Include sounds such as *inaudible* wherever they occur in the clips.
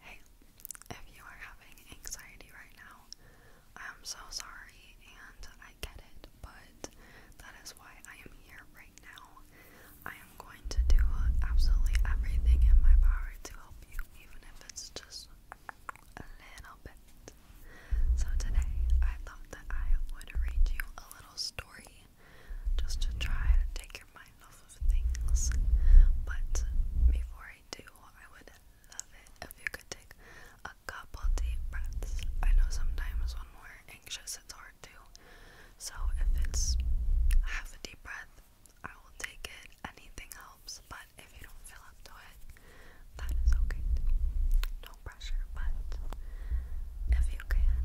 Hey, if you are having anxiety right now, I'm so sorry and I get it, but that is why I am here right now. I am going to do absolutely everything in my power to help you, even if it's just a little bit. So, today I thought that I would read you a little story just to try to take your mind off of things. But before I do, I would love it if you could take a couple deep breaths. I know sometimes when we're anxious, it's hard to. So if it's half a deep breath, I will take it. Anything helps, but if you don't feel up to it, that is okay No pressure, but if you can,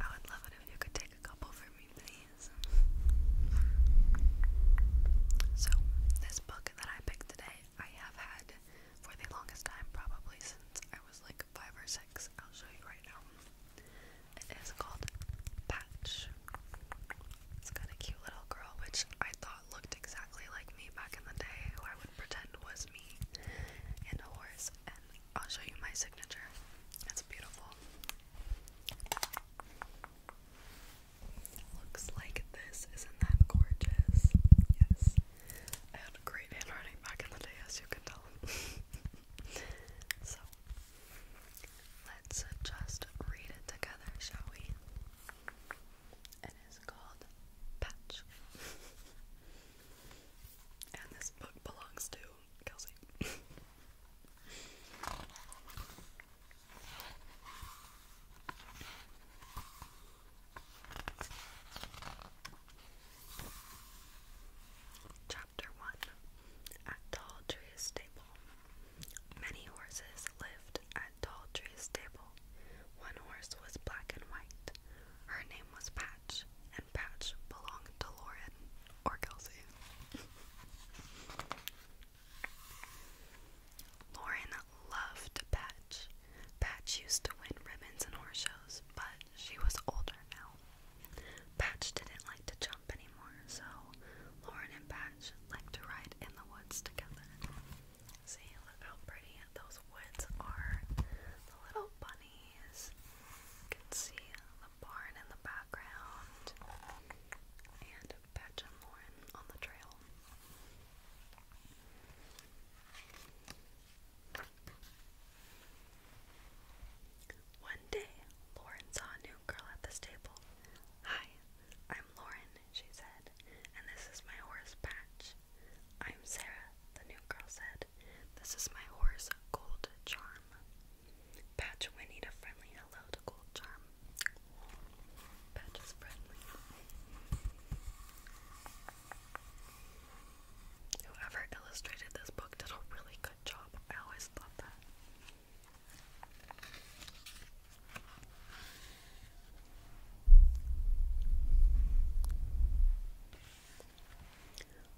I would love it if you could take a couple for me, please. So, this book that I picked today, I have had for the longest time, probably since I was like five or six. I'll show you right now. It is called Patch. It's got a cute little girl, which I thought looked exactly like me back in the day, who I would pretend was me, and a horse. I'll show you my signature. It's beautiful. Looks like this. Isn't that gorgeous? Yes. I had a great handwriting back in the day, as you can tell. *laughs* so, let's just read it together, shall we? It is called Patch. *laughs* and this book belongs to Kelsey. Chapter 1 At Tall Stable. Many horses lived at Tall stable. One horse was black and white. Her name was Pat. Patch, and Patch belonged to Lauren or Kelsey. Lauren loved Patch. Patch used to win ribbons and horse shows, but she was older now. Patch didn't like to jump anymore, so Lauren and Patch liked to ride in the woods together. See, look how pretty those woods are. The little bunny you can see the barn in the background and Patch and Lauren on the trail. One day, Lauren saw a new girl at the stable. Hi, I'm Lauren, she said, and this is my horse Patch. I'm Sarah, the new girl said. This is my horse, Gold Charm. Patch whinnied a friendly hello to Gold Charm. Patch is friendly. Whoever illustrated this book did a really good job. I always love that.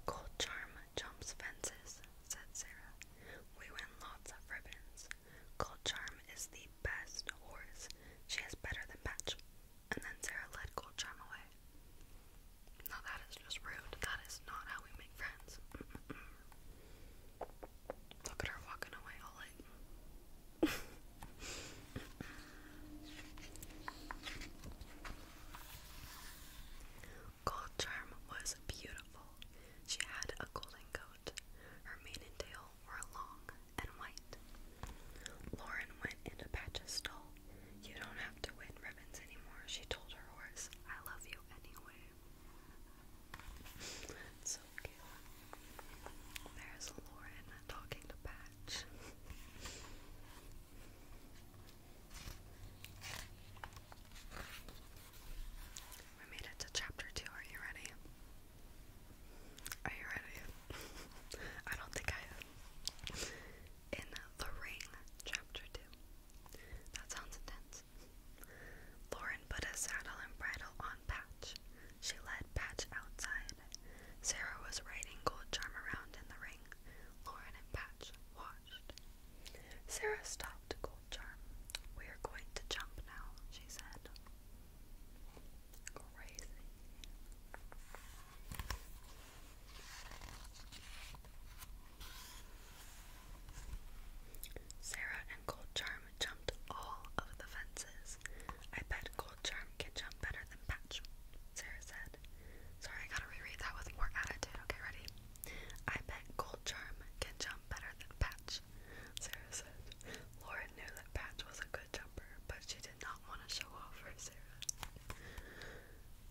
Gold charm jumps fences, said Sarah. We win lots of ribbons. Gold charm is the best horse. She is better than Patch. And then Sarah led Gold charm away. Now that is just rude. That is not how we make friends. Look at her walking away all like *laughs* Gold Charm was beautiful. She had a golden coat. Her mane and tail were long and white. Lauren went into Patch's stall. You don't have to win ribbons anymore, she told her horse. I love you anyway. *laughs* There's Lauren talking to Patch. We made it to chapter two. Are you ready? Are you ready? *laughs* I don't think I am. In The Ring, chapter two. That sounds intense. Lauren put a saddle and bridle on Patch. She led Patch outside Sarah was riding Gold Charm around in the ring. Lauren and Patch watched. Sarah stopped Gold Charm. We're going to jump now, she said. Crazy. Sarah Gold Charm jumped all of the fences. I bet Gold Charm can jump better than Patch, Sarah said. Sorry, I gotta reread that with more attitude. Okay, ready? I bet Gold Charm can jump better than Patch, Sarah said. Lauren knew that Patch was a good jumper, but she did not want to show off for Sarah.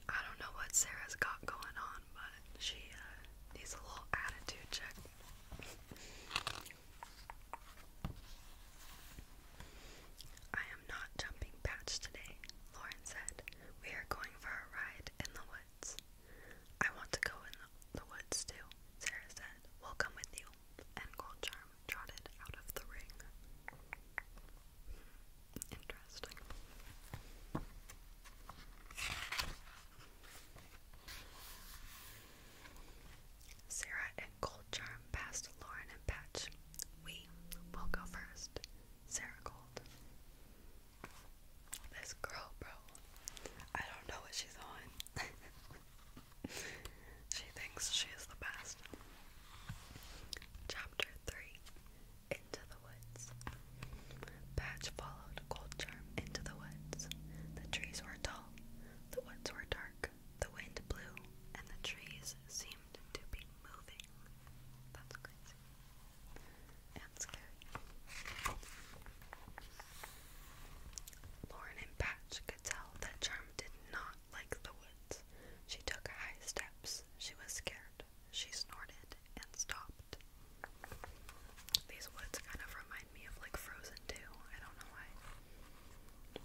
I don't know what Sarah's got going on, but she uh, needs a little attitude check. I am not jumping patch today, Lauren said. We are going for a ride in the woods. I want to go in the, woods too, Sarah said. We'll come with you. And Gold Charm trotted out of the ring. Hmm, interesting. Sarah and Gold Charm passed Lauren and Patch. We will go first. Sarah Gold. This girl, bro. I don't know what she's on. *laughs* she thinks she is the best. Chapter 3 Into the Woods. Patch followed Gold Charm into the woods. The trees were tall, the woods were dark, the wind blew, and the trees seemed to be moving. That's crazy. And scary. Lauren and Patch could tell that Charm did not like the woods. She took high steps. She was scared. She snorted and stopped. These woods kind of remind me of like Frozen too. I don't know why.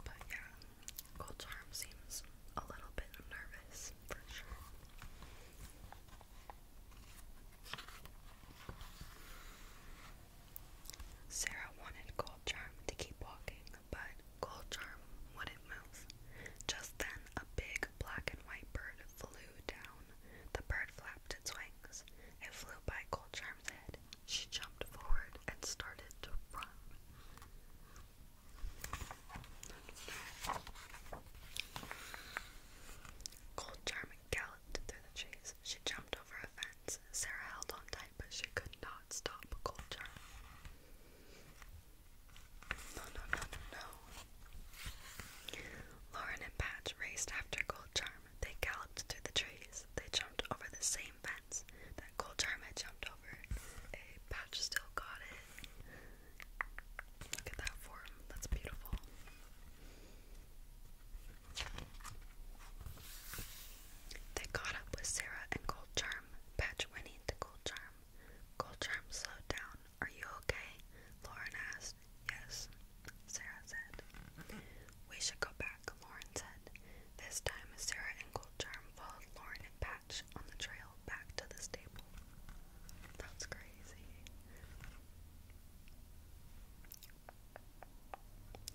But yeah, Gold Charm seems a little bit nervous for sure. Sarah wanted Gold Charm to keep walking, but Gold Charm wouldn't move. Just then, a big black and white bird flew down. The bird flapped its wings. It flew by Goldcharm's head. She jumped forward and started to run. Goldcharm galloped through the trees. She jumped over a fence. Sarah held on tight, but she could not stop Goldcharm. No, Lauren and Patch raced after Gold Charm. They galloped through the trees. They jumped over the same fence that Gold Charm had jumped over. Hey, Patch still got it. Look at that form. That's beautiful. They caught up with Sarah and Gold Charm. Patch whinnied to Gold Charm. Gold Charm slowed down, are you okay? Lauren asked. Yes, Sarah said. We should go back, Lauren said. This time, Sarah and Goldcharm followed Lauren and Patch on the trail back to the stable. That's crazy.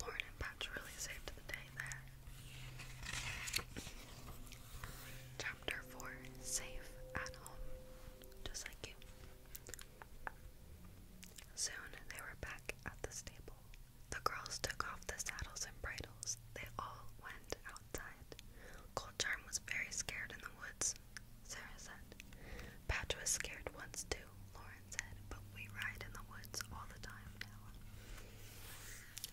Lauren and Patch really saved the day there. Chapter 4 Safe at Home just like you. Soon they were back at the stable. The girls took off the saddles and bridles. They all went outside. Cold Charm was very scared in the woods, Sarah said. Patch was scared once too, Lauren said, but we ride in the woods all the time now.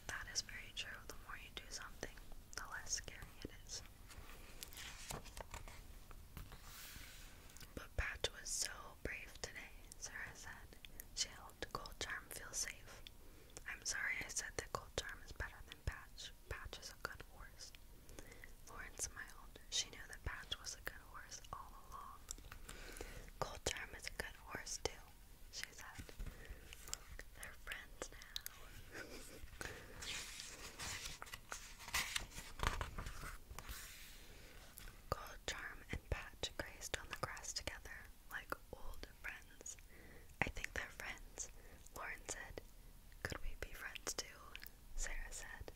That is very true. The more you do something, the less scary it is. But Patch was so brave today, Sarah said. She helped Gold Charm feel safe. I'm sorry I said that Gold Charm is better than Patch. Patch is a good horse. Lauren smiled. She knew that Patch was a good horse all along. Gold is a good horse, too, she said. they're friends now. Gold Charm and Patch grazed on the grass together like old friends. I think they're friends, Lauren said. Could we be friends too? Sarah said.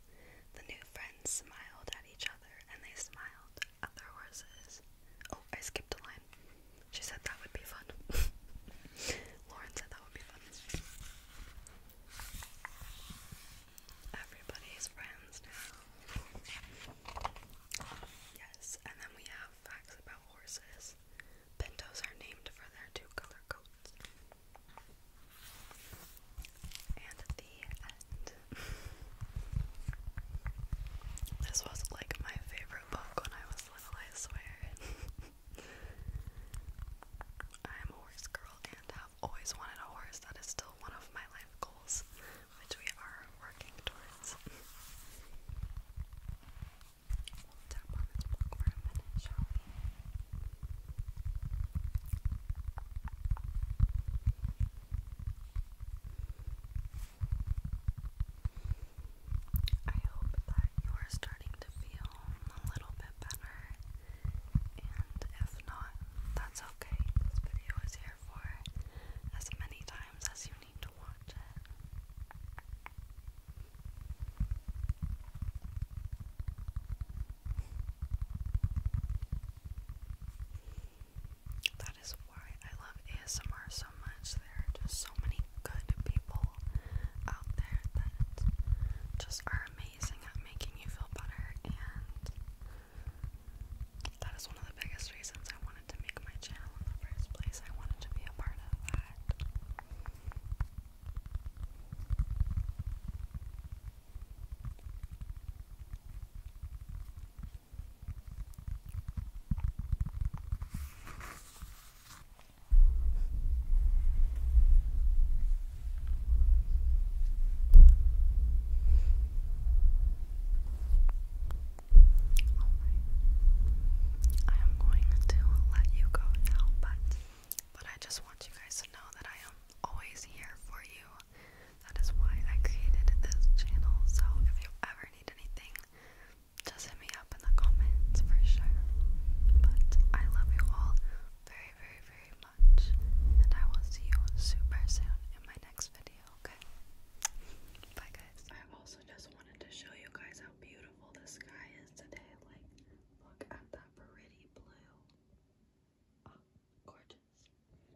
The new friends smiled at each other and they smiled at their horses. Oh, I skipped a line. She said that would be fun. *laughs* Lauren said that would be fun. Everybody's friends now. Yes, and then we have facts about horses. Pintos are named for their two color coats. And at the end. *laughs* This was like my favorite book when I was little, I swear. *laughs* I am a horse girl and have always wanted a horse. That is still one of my life goals, which we are working towards. tap on this book for a minute, shall we? I hope that you are starting to feel a little bit better, and if not, that's okay. This video is here for as many times as you need to watch it. That is why I love ASMR so much. There are just so many good people out there that just are amazing at making you feel better, and that is one of the biggest reasons I wanted to make my channel in the first place. I wanted to be a part of that. Alright. I am going to let you go now, but but I just want you guys to know that I am always here for you. That is why I created this channel. So if you ever need anything, just hit me up in the comments for sure. But I love you all very, very, very much. And I will see you super soon in my next video, okay? Bye, guys. i also just wanted to show you guys how beautiful the sky is today. Like, look at that pretty blue. Ah, gorgeous.